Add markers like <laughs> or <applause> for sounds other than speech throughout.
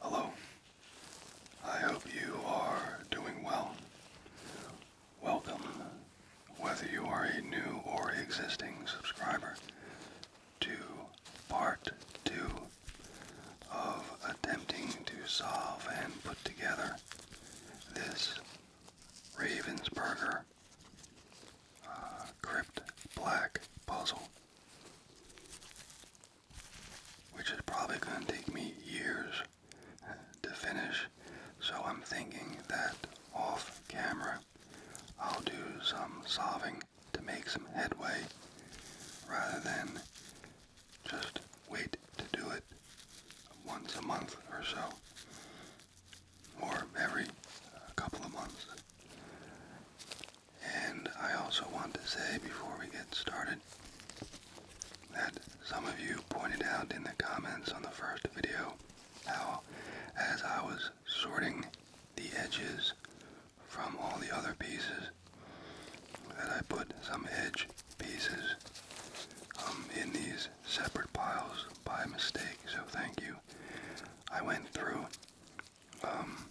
Hello. I hope you are doing well. Welcome, whether you are a new or existing subscriber, to part two of attempting to solve and put together this Ravensburger uh, Crypt Black puzzle which is probably going to take me years uh, to finish. So I'm thinking that off camera I'll do some solving to make some headway rather than just wait to do it once a month or so or every couple of months. And I also want to say before we get started that some of you pointed out in the comments on the first video how as I was sorting the edges from all the other pieces that I put some edge pieces um, in these separate piles by mistake. So thank you. I went through um,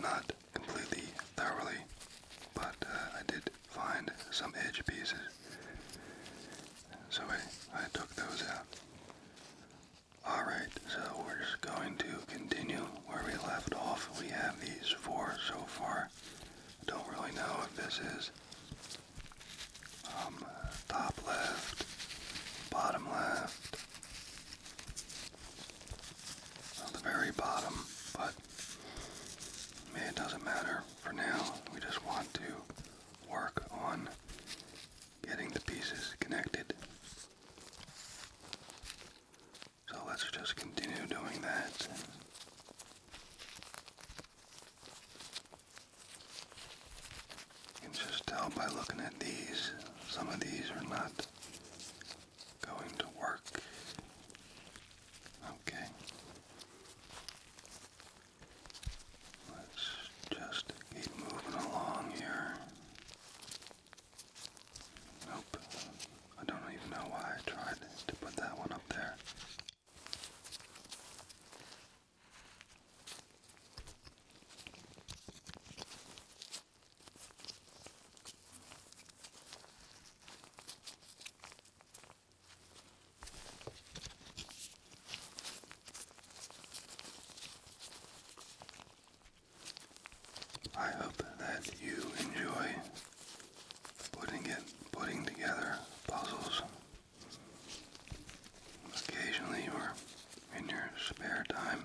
not completely thoroughly, but uh, I did find some edge pieces. So I, I took those out. Alright, so we're just going to continue where we left off. We have these four so far. Don't really know if this is um, top left, bottom left, on the very bottom, but I mean, it doesn't matter for now. We just want to work on getting the pieces connected. So let's just continue doing that. You can just tell by looking at these, some of these are not going to work. Okay. Let's just keep moving along here. Nope. I don't even know why I tried to put that one up there. I hope that you enjoy putting it putting together puzzles occasionally or in your spare time.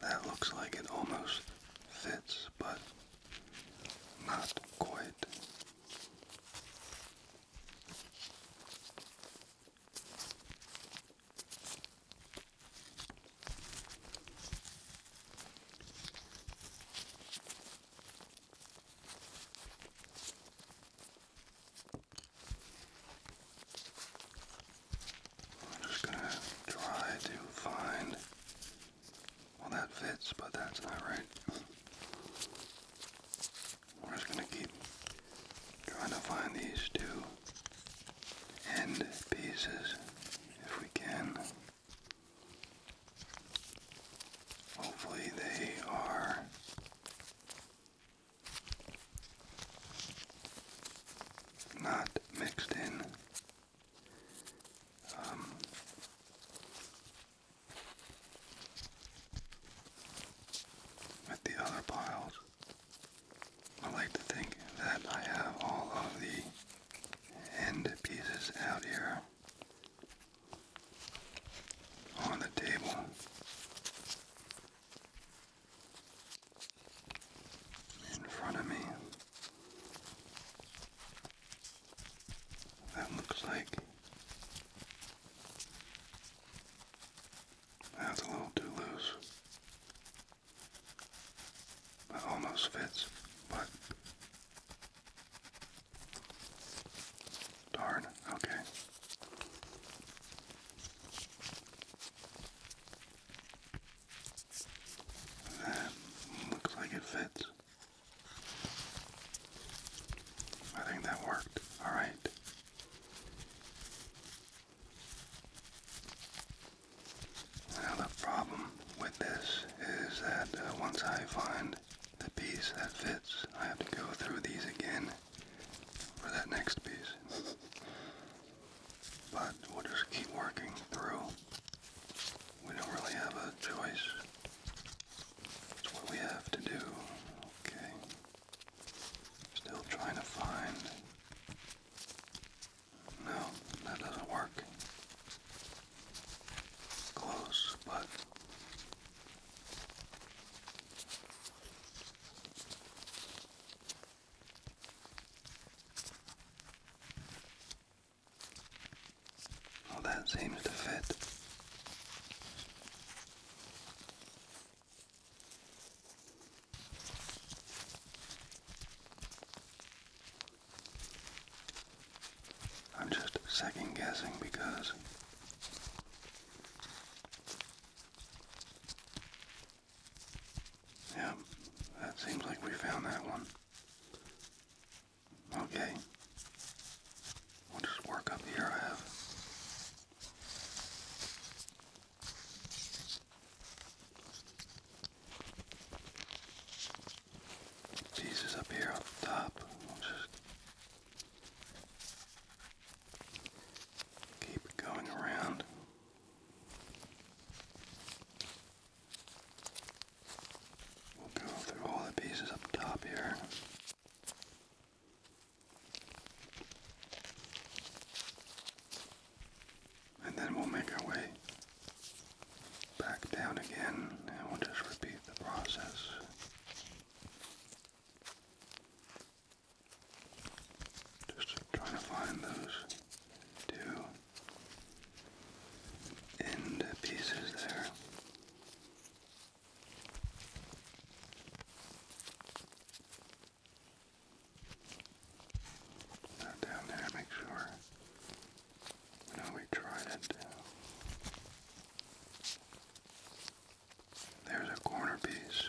That looks like it almost fits, but not quite. I'm just gonna try to find. Well, that fits, but that's not right. We're just gonna keep trying to find these two end pieces if we can. Hopefully, they are not mixed in. Um, with the other piles, I like to think that I have all of the end pieces out here on the table in front of me. That looks like that's a little too loose. It almost fits, but darn, okay. That um, looks like it fits. I think that worked. Alright. Now the problem with this is that uh, once I find the piece that fits, I have to go through these again for that next piece. But we'll just keep working through. We don't really have a choice. It's what we have to do. Okay. Still trying to find. No, that doesn't work. Close, but that seems to fit. I'm just second guessing because Yep, that seems like we found that one. Okay. We'll just work up here I have. Pieces up here up top. We'll just keep going around. We'll go through all the pieces up top here. And then we'll make our way back down again and we'll just repeat the process. Just trying to find those two end pieces there. down there, make sure. No, we tried it. There's a corner piece.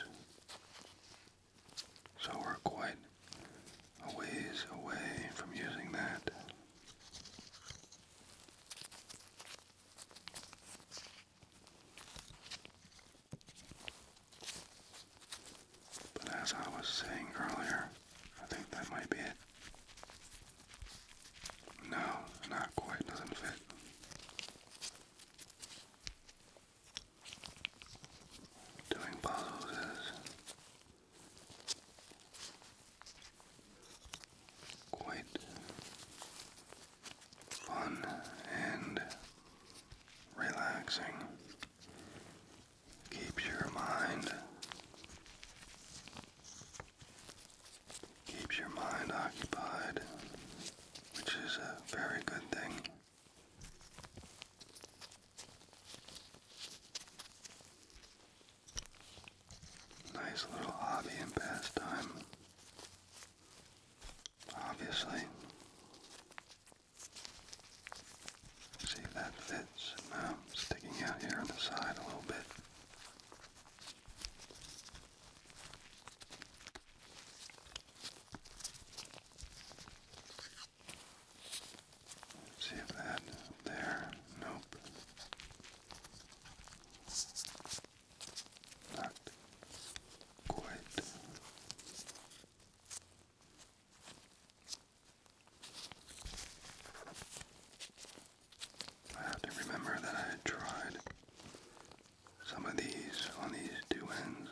So we're quite a ways away from using that. But as I was saying earlier, I think that might be it. No, not quite, doesn't fit doing puzzles quite fun and relaxing. Keeps your mind keeps your mind occupied, which is a very good thing. Nice little hobby and pastime. Obviously. See that fits. sticking out here on the side a little bit. See if that there. Nope. Not quite. I have to remember that I tried some of these on these two ends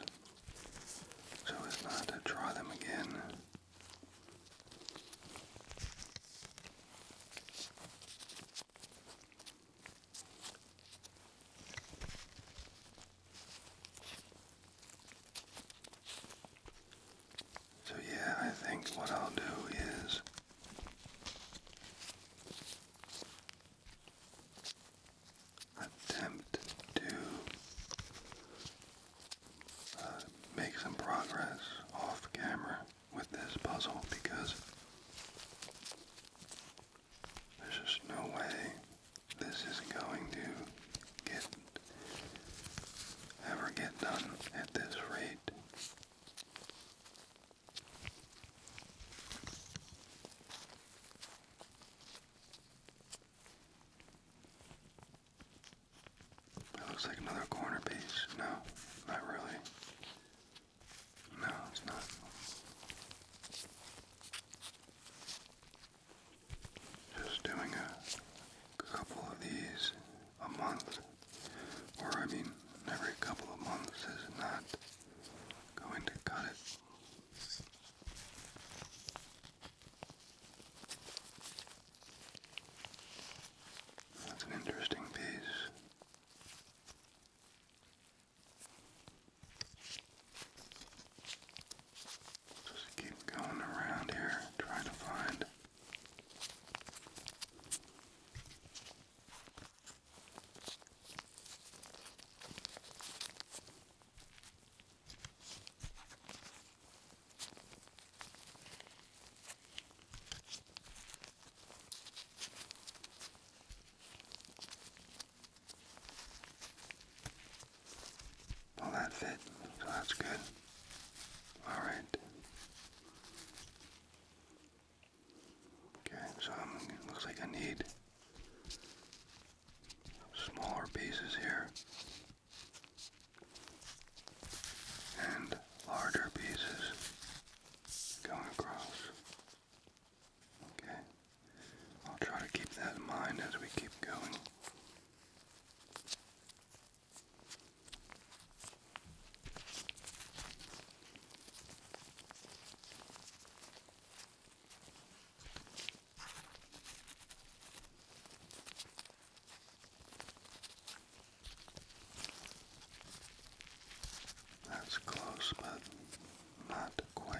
so as not to draw them again. So, yeah, I think what I'll do is attempt to uh, make some progress off camera with this puzzle because there's just no way this is going to get ever get done at this rate. It looks like another corner piece. No, not really. No, it's not. Just doing a couple of these a month, or I mean, every couple of months is not going to cut it. That's an interesting piece. Just keep going around here trying to find well, that fit, so that's good. All right. Okay, so I'm, it looks like I need smaller pieces here and larger pieces going across. Okay, I'll try to keep that in mind as we keep going. That's close, but not quite.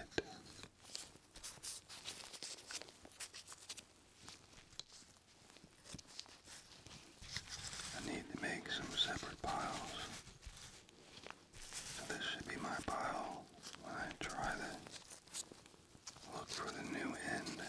I need to make some separate piles. So this should be my pile I try the Look for the new end.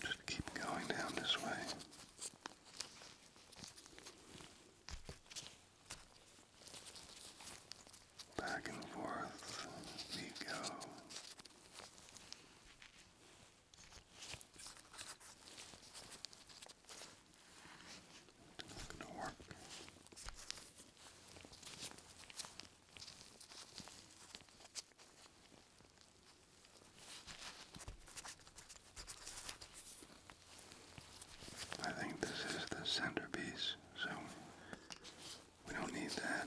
Just keep going down this way. Back and forth we go. It's going to work. I think this is the centerpiece, so we don't need that.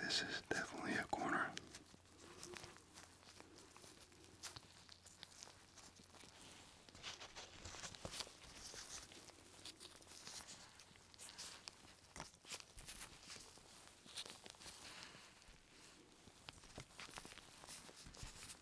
This is definitely a corner.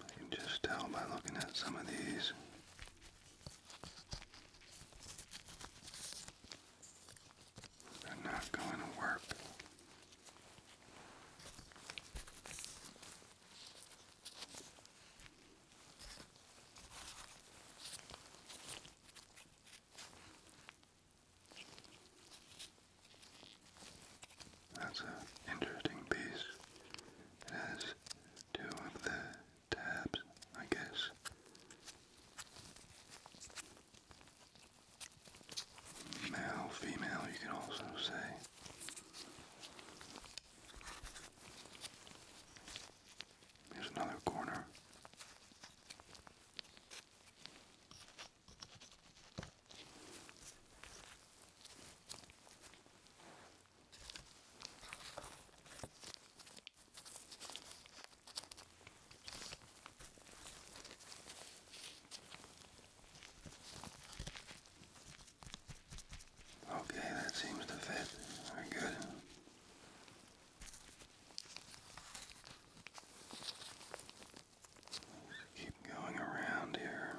I can just tell by looking at some of these. They're not going to work. That's an interesting piece. It has two of the tabs, I guess. Male, female, you can also say. Here's another corner. Okay, that seems to fit. Very good. Just keep going around here.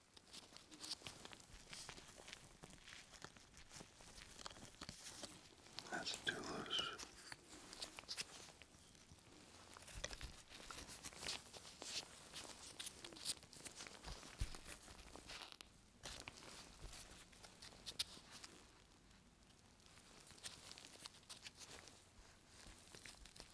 That's too loose.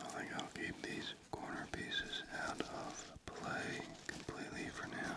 I think I'll keep these corner pieces out of play completely for now.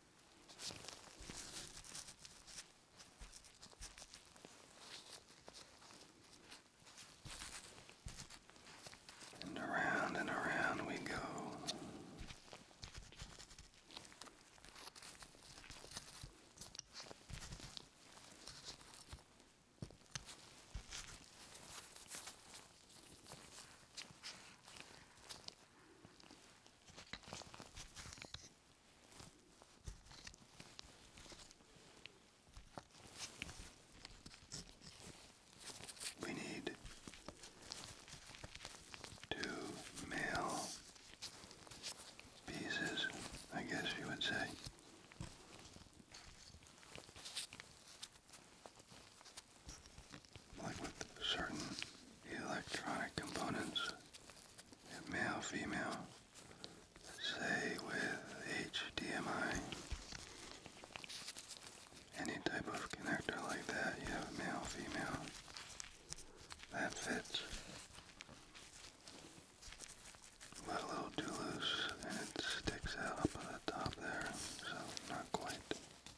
And around and around we go. We need two male pieces, I guess you would say like with certain electronic components, male, female, say with HDMI, any type of connector like that, you have male, female, that fits. But a little too loose and it sticks out up at the top there, so not quite.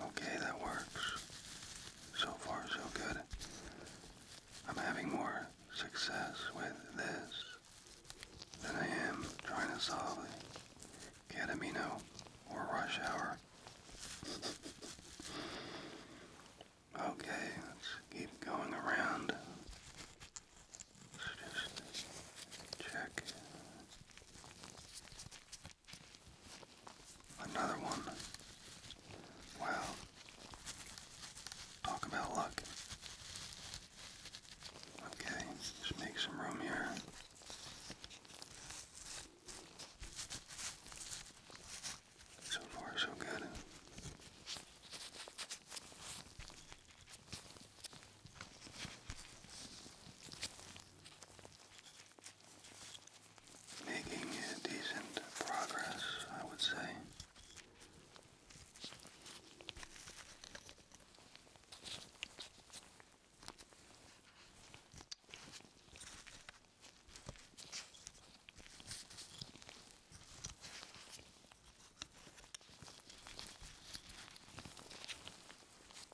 Okay, that works. So far, so good. I'm having more success with this than I am trying to solve the Catamino or Rush Hour. Okay, let's keep going around. Let's just check. Another one. Wow. Talk about luck. Okay, just make some room here. So far, so good making decent progress, I would say.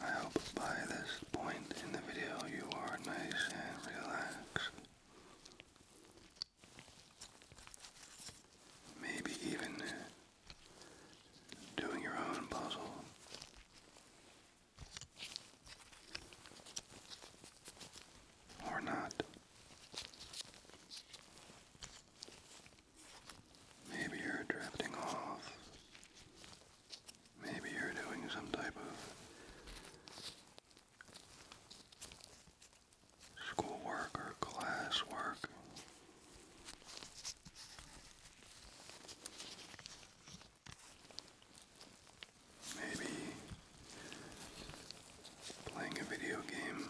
I hope by this point in the video you are nice and relaxed. Maybe even doing your own puzzle. Or not. Maybe you're drifting off Maybe you're doing some type of schoolwork or class work. Maybe playing a video game.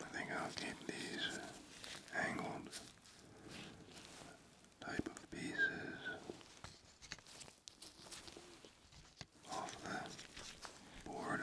I think I'll keep these angled type of pieces off the board.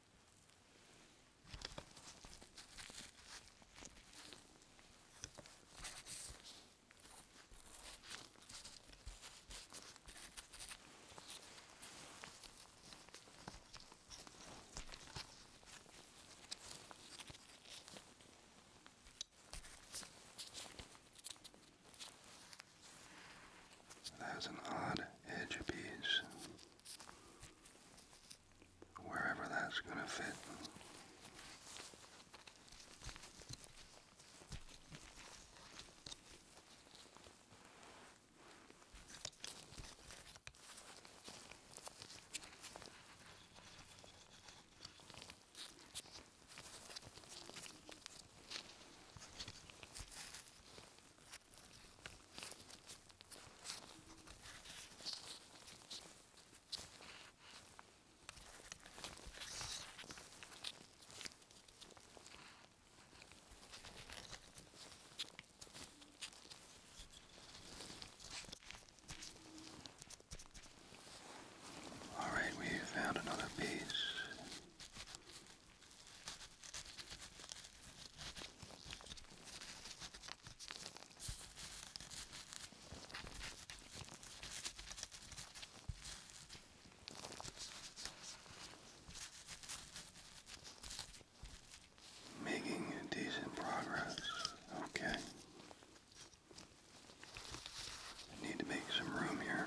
That has an odd edge piece wherever that's going to fit. All right, we found another piece. Making decent progress, okay. need to make some room here.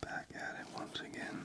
Back at it once again.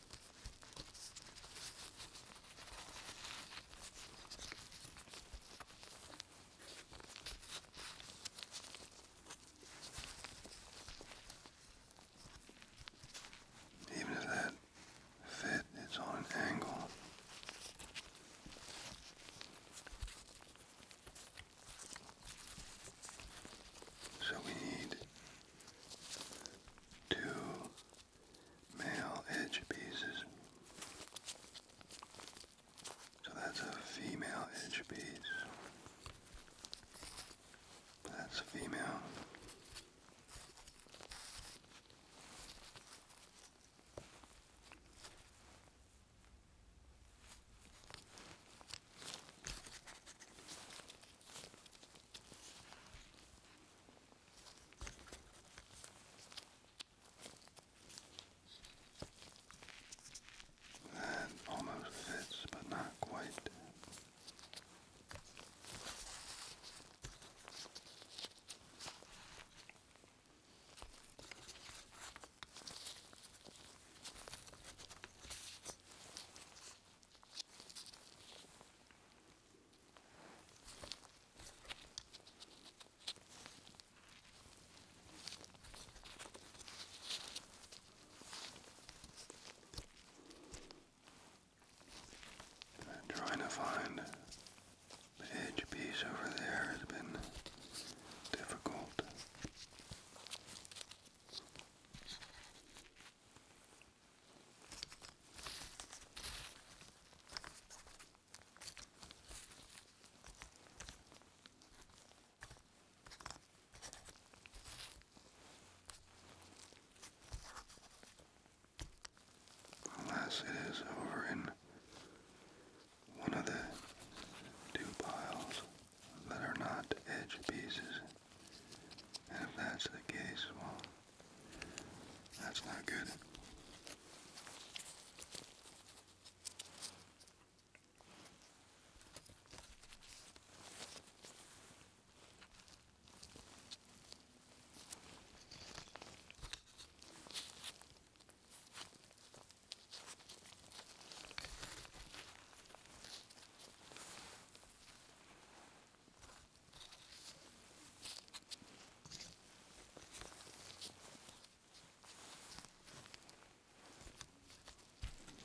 Even if that fit is on an angle, so we need two male edge pieces. So that's a female edge piece. That's female. That almost fits, but not quite. I'm trying to find the edge piece over there has been difficult. Unless it is over in one of the two piles that are not edge pieces. if that's the case, well, that's not good.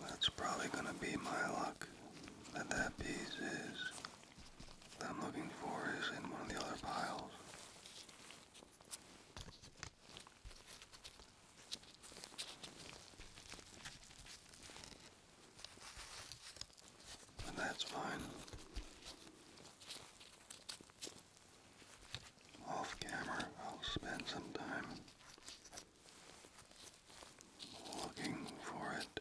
That's probably going to be my luck that that piece is I'm looking for is in one of the other piles. But that's fine. Off camera, I'll spend some time looking for it.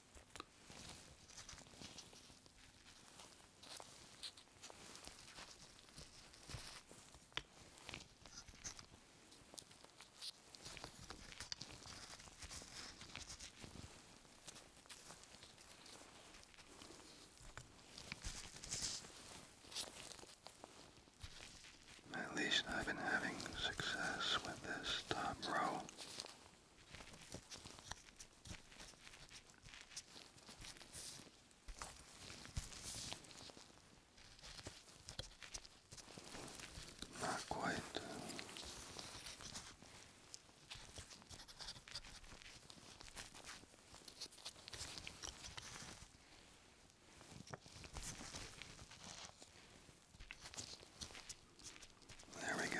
At least I've been having success with this top row. Not quite. There we go.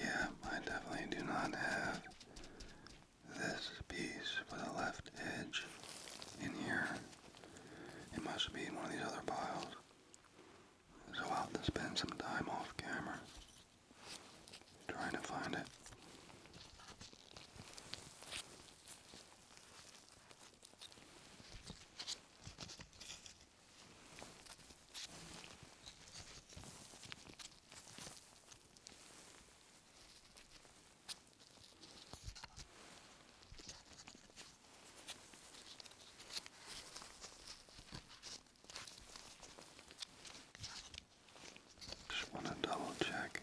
Yeah, I definitely do not have this piece for the left edge in here. It must be in one of these other piles. So I'll have to spend some time off camera trying to find it. Just want to double check.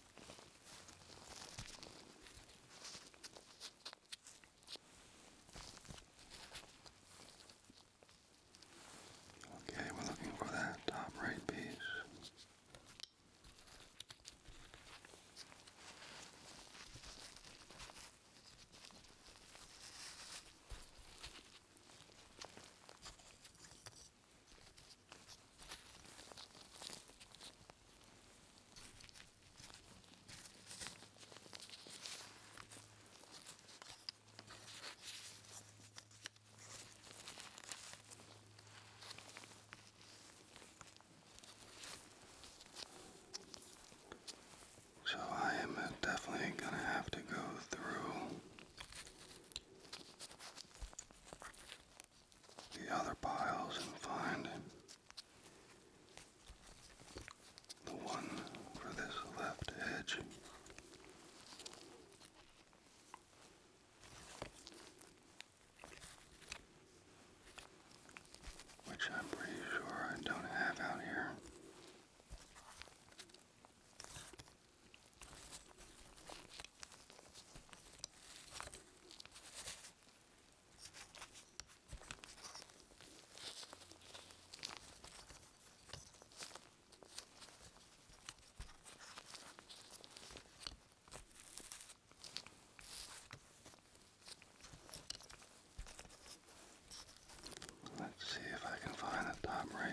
Okay, we're looking for that top right piece. So I am definitely going to have to go through the other piles and find the one for this left edge. Which I'm pretty sure I don't have out here. Let's see if I can find the top right.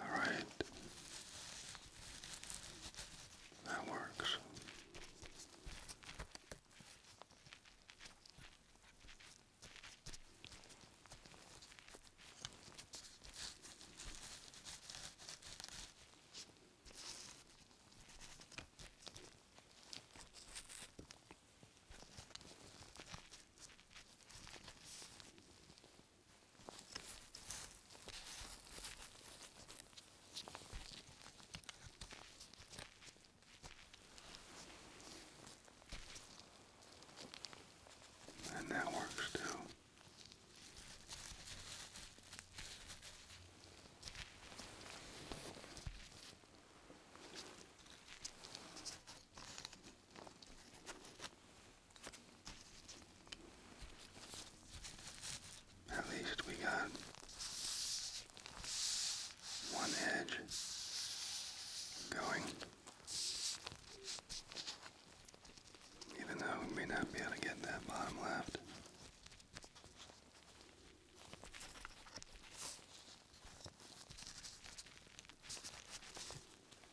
All right. That works. And that works too. At least we got one edge going. Even though we may not be able to get that bottom left.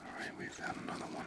All right, we found another one.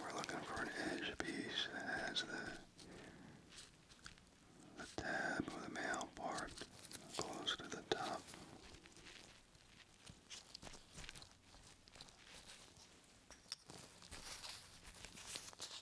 We're looking for an edge piece that has the, the tab of the male part close to the top.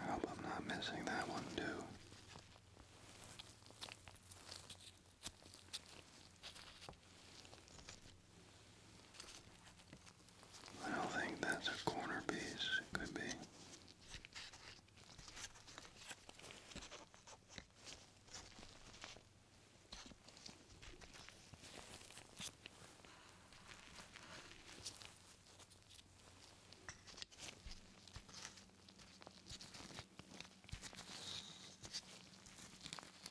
I hope I'm not missing that one too. I don't think that's a corner piece. It could be.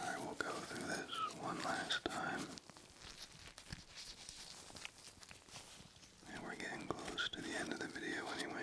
I will go through this one last time. And we're getting close to the end of the video anyway.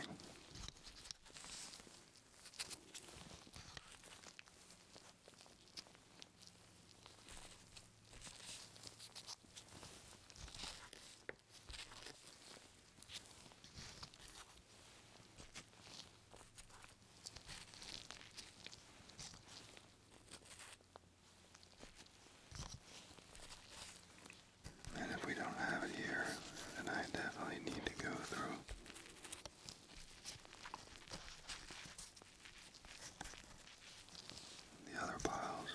And if we don't have it here, then I definitely need to go through. The other piles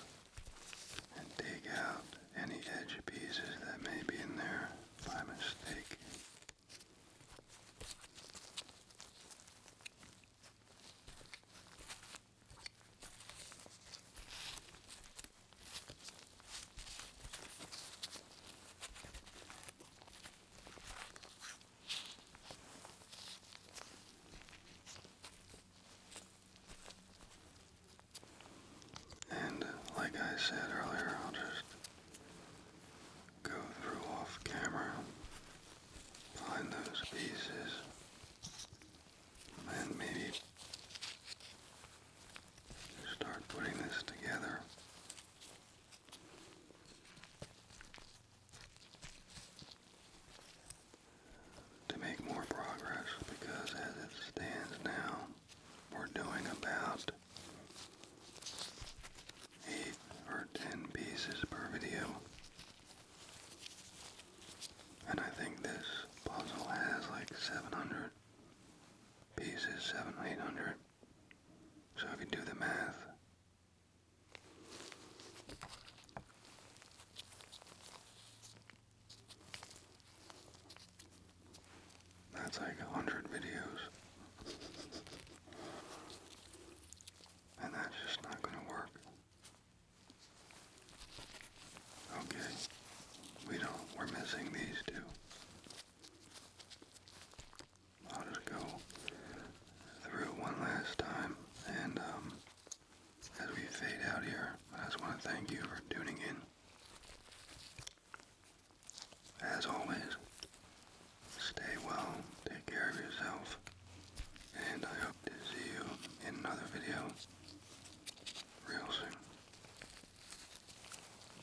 and take out any edge pieces that may be in there by mistake. And like I said earlier, I'll just go through off camera, find those pieces, and maybe start putting this together. To make more progress, because as it stands now, we're doing about eight or ten pieces per video. And I think this puzzle has like 700 pieces, 700, 800. So if you do the math, that's like a hundred videos. <laughs> And that's just not going to work. Okay, we don't, we're missing these two. I'll just go through one last time, and um, as we fade out here, I just want to thank you for tuning in. As always, Stay well, take care of yourself, and I hope to see you in another video real soon.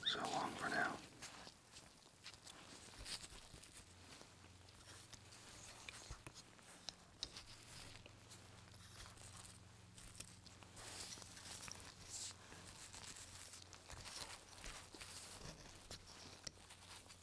So long for now.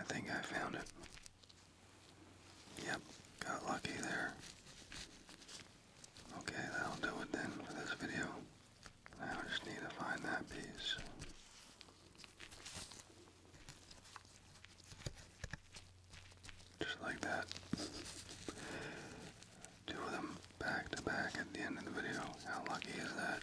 I think I found it. Yep, got lucky there. Okay, that'll do it then for this video. I just need to find that piece. Just like that. Two of them back to back at the end of the video. How lucky is that?